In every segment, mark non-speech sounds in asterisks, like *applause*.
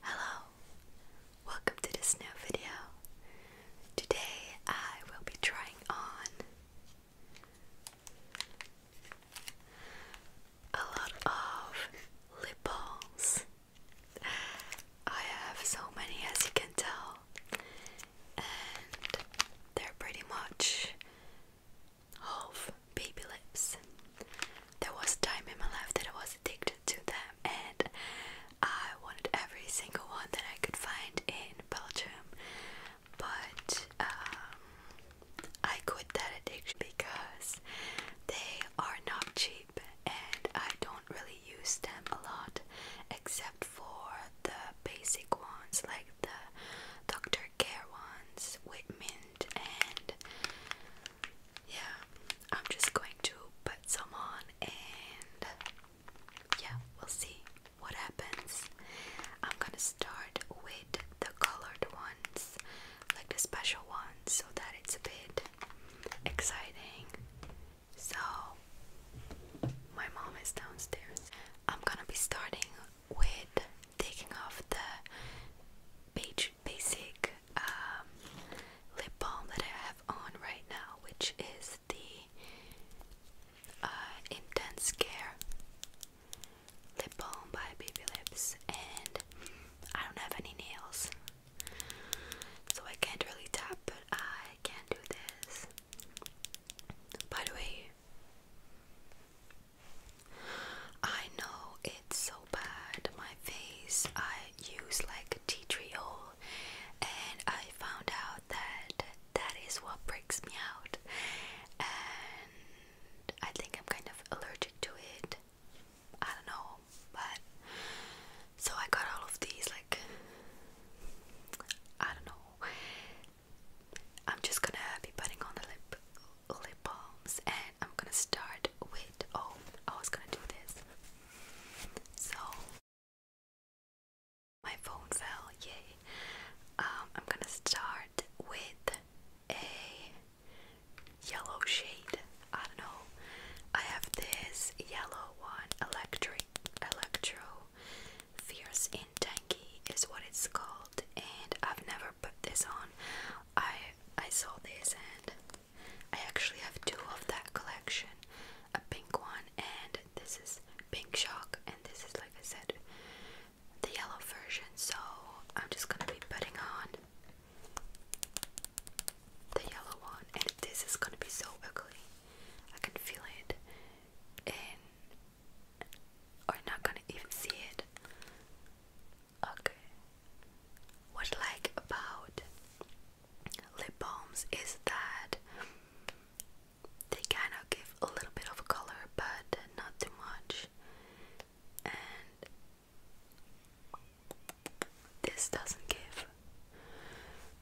Hello, welcome to this new video. Today I will be trying on a lot of lip balms. I have so many as you can tell, and they're pretty much half baby lips there was a time in my life that I was addicted to them, and I wanted every single one that I could find in Belgium. But um, I quit that addiction because they are not cheap, and I don't really use them a lot, except for the basic ones like the Dr. Care ones Whitman, and yeah, I'm just going to put some on and yeah, we'll see what happens. I'm gonna start with the colored ones, like the special ones, so that it's a bit exciting. So, my mom is downstairs. I'm gonna be starting with taking off the beige basic um, lip balm that I have on right now, which is the uh, Intense Care lip balm by Baby Lips, and I don't have any nails, so I can't really tap, but I can do this. By the way, I know it's so bad, my face. I use like tea tree oil, and I found out that that is what breaks me out, and I think I'm kind of allergic to it. I don't know, but so I got all of these like I don't know. I'm just gonna be putting on the lip lip balms and I'm gonna start with oh I was gonna do this so my phone fell yay um, I'm gonna start with a yellow shade I don't know I have this yellow one electric electro fierce and tanky is what it's called and I've never put this on. I I saw this and I actually have two of that collection. A pink one and this is Pink Shock and this is like I said the yellow version. So I'm just gonna be putting on the yellow one and this is gonna be so ugly. I can feel it and I'm not gonna even see it. Okay. What I like about lip balms is that they kind of give a little bit of color, but not too much. And this doesn't give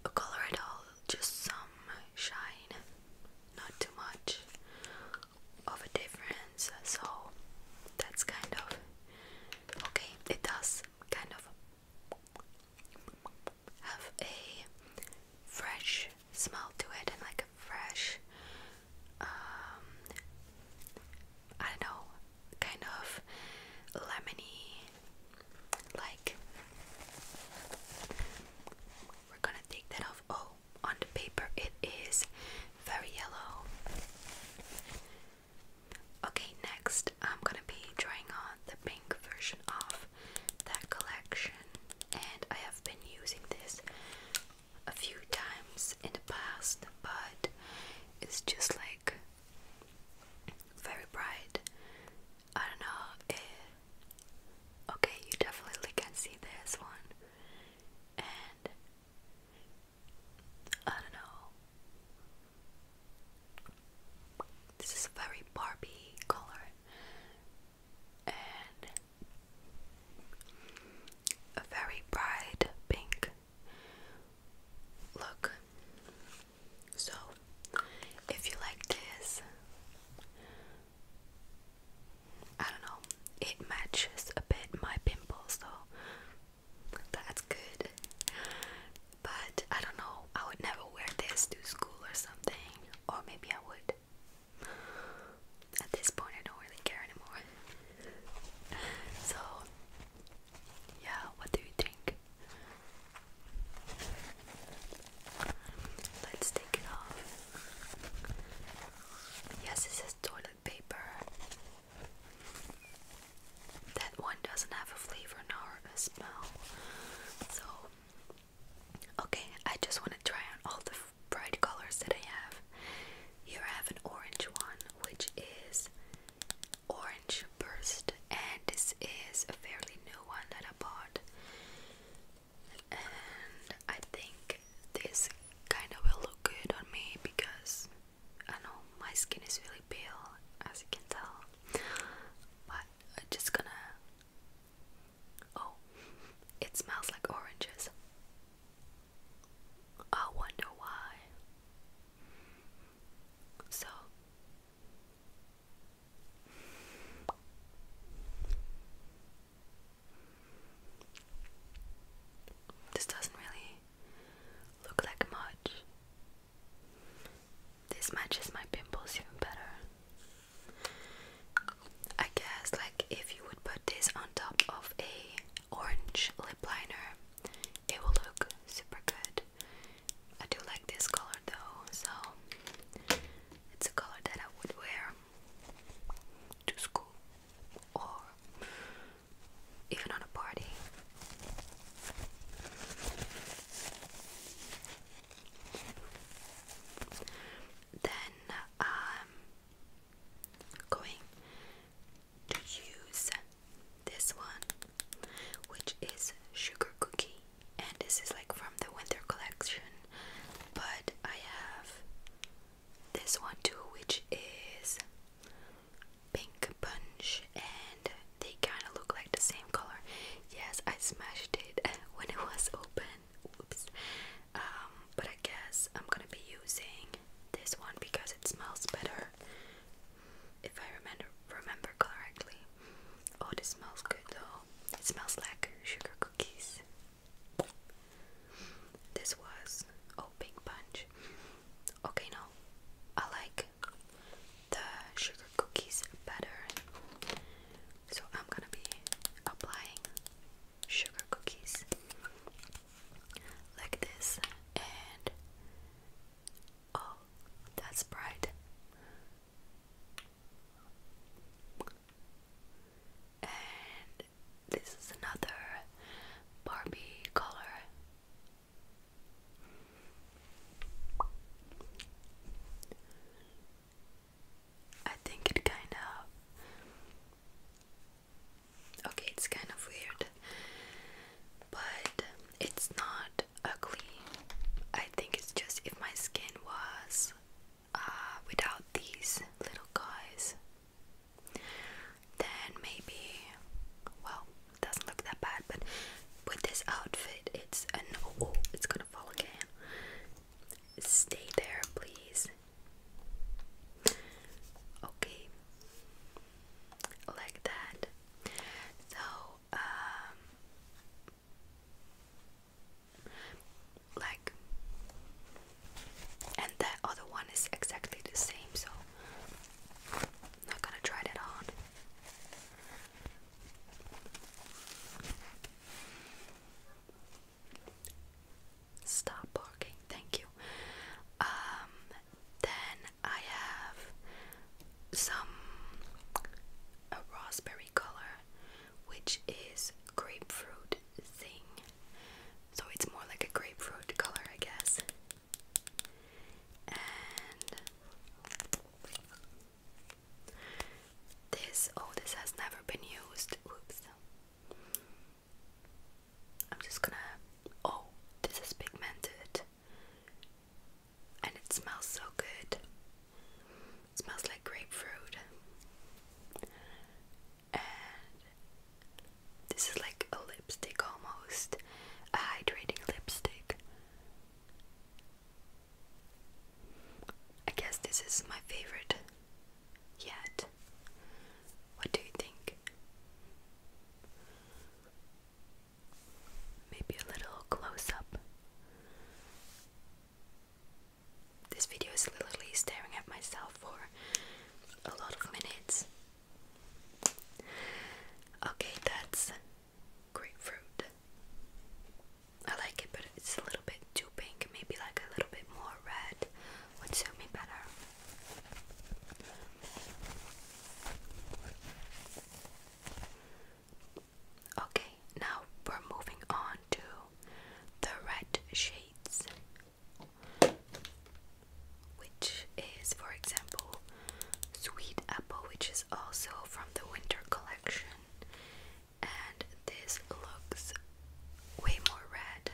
a color at all, just some shine, not too much of a difference, so that's kind of okay. It does kind of have a fresh smell to it and like a fresh, um, I don't know, kind of lemony. Like, we're gonna take that off. Oh, on the paper it is very yellow. Okay, next I'm gonna be drawing on the pink version of that collection, and I have been using this a few times in the past, but it's just like very bright. I don't know. Eh, okay, you definitely can see this one, and I don't know. This is a very Barbie color and a very bright pink look. So, if you like this, I don't know, it matches a bit my pimples, though. that's good. But I don't know, I would never wear this to school or something, or maybe I would. At this point, I don't really care anymore. So, yeah, what do you think? Let's take it off. Yes, this is toilet paper. That one doesn't have a flavor nor a smell. So, okay, I just want to try on all the bright colors that I have. Here I have an orange one, which is Orange Burst, and this is a fairly new one that I bought and I think this kind of will look good on me because I know my skin is really pale as you can tell but I'm just gonna oh it smells like oranges I wonder why so this doesn't really look like much. This matches my pimples even better. I guess like if you would put this on top of a orange lip liner, it will look super good. I do like this color though, so it's a color that I would wear to school or even on a party. Then um, going to use this one, which is sugar cookie, and this is like from the winter collection, but I have this one too, which is pink punch, and they kind of look like the same color. Yes, I smashed it *laughs* when it was open. Oops. Um, but I guess I'm gonna be using this one because it smells better. If I remember remember correctly. Oh, this smells good though. It smells like sugar cookies. This was oh big punch. Okay, no, I like the sugar cookies better, so I'm gonna be applying sugar cookies like this, and oh, that's bright. And this is another Barbie color. I think it kind of. Okay, it's kind of weird. But it's not ugly. I think it's just if my skin was uh, without these little guys, then maybe, well, doesn't look that bad. But with this outfit, it's a no. Oh, it's gonna fall again. Stay there, please. Okay, like that. So, um, like and the other one is exactly the same so not gonna try that on stop barking thank you um then I have some a raspberry color which is grapefruit thing. So it's more like a grapefruit color, I guess. And this, oh, this has never been used. Whoops. I'm just gonna. Oh, this is pigmented. And it smells so good smells like grapefruit. And this is like a lipstick almost. A hydrating lipstick. I guess this is my favorite yet. What do you think? Maybe a little close up. This video is literally staring at myself for a lot of minutes. Okay, that's grapefruit. I like it, but it's a little bit too pink, maybe like a little bit more red would suit me better. Okay, now we're moving on to the red shades, which is, for example, Sweet Apple, which is also from the winter collection. And this looks way more red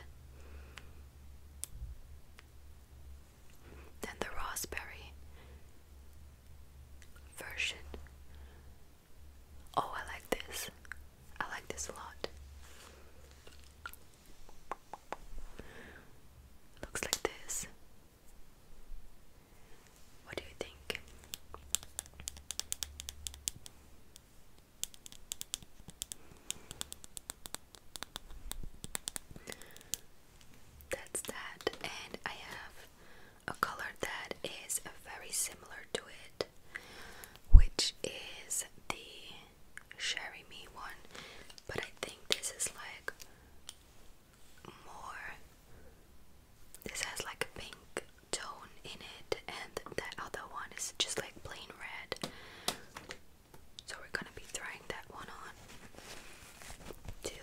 than the raspberry version. Oh, I like this. I like this a lot. Looks like this. What do you think? That's that, and I have a color that is very similar to it, which is the Sherry Me one, but I think this is like more. This has like a pink tone in it, and that other one is just like plain red. So we're gonna be trying that one on too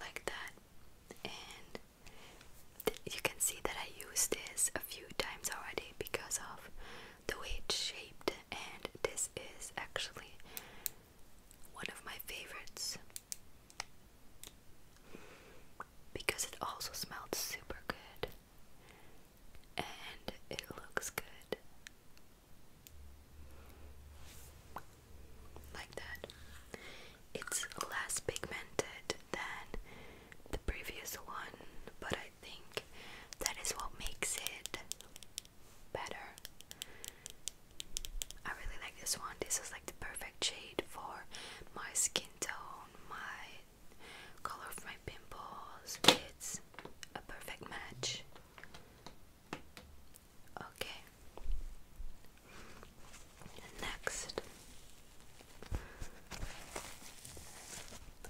like that and you can see that I used this a few times already because of the way it's shaped and this is actually one of my favorites because it also smells super good and it looks good like that. It's less pigmented than the previous one, but I think that is what makes it better. I really like this one. This is like the perfect shade for my skin tone, my color of my pimples. It's a perfect match. Okay. Next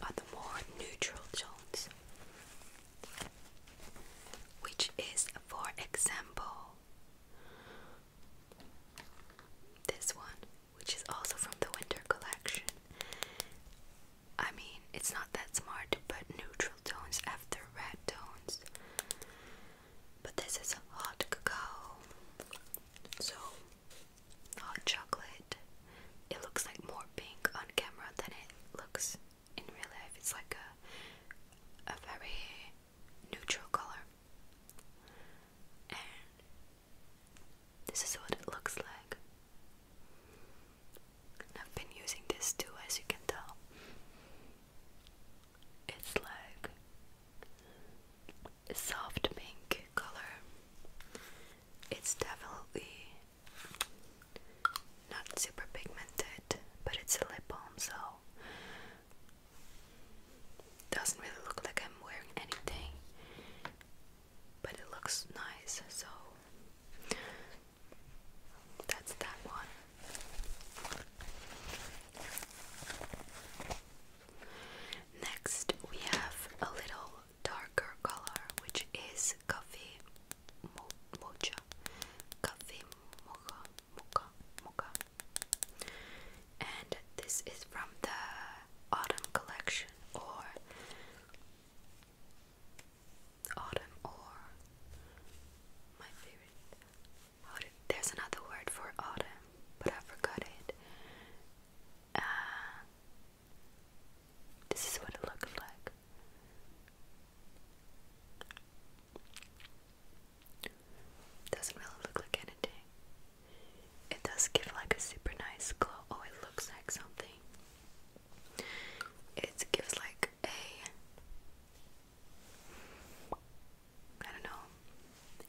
are the more neutral tones, which is, for example, this one, which is also from the winter collection, I mean, it's not that smart to put neutral tones after red tones. But this is a hot cocoa, So, hot chocolate. It looks like more pink on camera than it looks in real life. It's like a, a very neutral color. And this is what it looks like. I've been using this too, as you can tell. It's like a soft pink color. It's definitely not super pigmented, but it's a lip balm, so doesn't really look like I'm wearing anything but it looks nice, so that's that one. Next, we have a little darker color, which is coffee mocha, coffee mocha, mocha, mocha, and this is from the autumn collection or autumn or my favorite. Oh, there's another word for autumn, but I forgot it. Uh, this is what it looks like. Doesn't really look like anything. It does give like a super nice glow. Oh, it looks like something. It gives like a I don't know.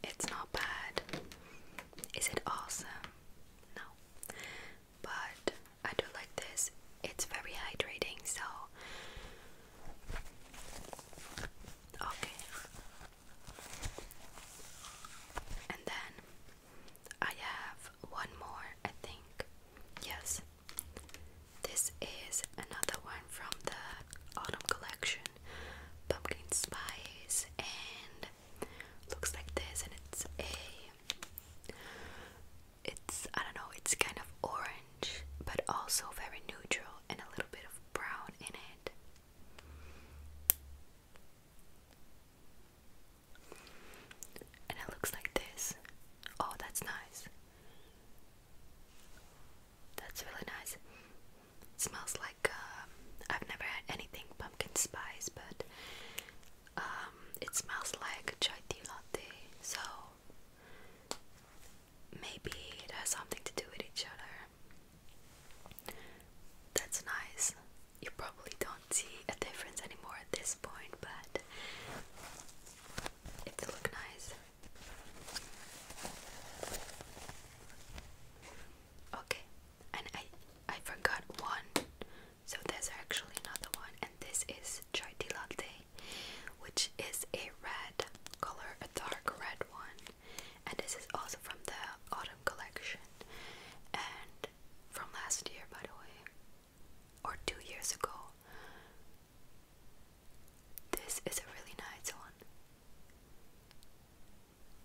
It's not bad. Is it awesome? No. But I do like this. It's very hydrating, so okay. And then I have one more, I think. Yes. This is another one from the autumn collection. Pumpkin spice and looks like this and it's a it's I don't know, it's kind of orange but also very neutral and a little bit of brown in it. And it looks like this. Oh, that's nice. That's really nice. It smells like uh, I've never had anything pumpkin spice, but um, it smells like chai tea latte. So maybe it has something to do with each other. That's nice. You probably don't see a difference anymore at this point, but it look nice. Okay, and I I forgot one. So there's actually another one, and this is chai latte, which is a red color, a dark red one, and this is also from the autumn collection. And from last year, by the way, or two years ago. This is a really nice one,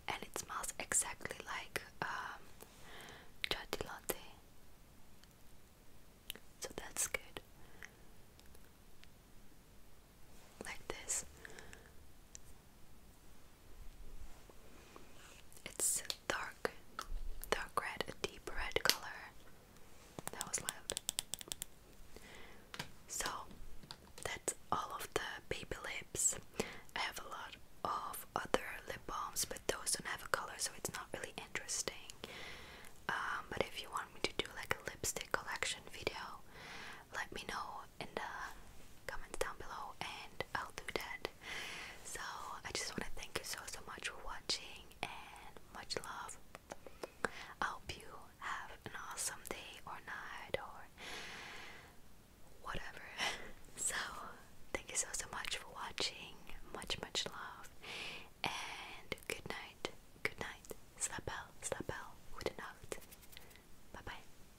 and it smells exactly like um, So that's good. Like this. It's dark, dark red, a deep red color. That was loud. So that's all of the baby lips. I have a lot of other lip balms, but those don't have a color, so it's not really interesting. Um, but if you want me to do like a lipstick collection video, let me know in the comments down below and I'll do that. So I just want to thank you so so much for watching and much love. I hope you have an awesome day or night or whatever. *laughs* so thank you so so much for watching. Much much love and good night. Good night. Slap out, slap out, good Bye bye.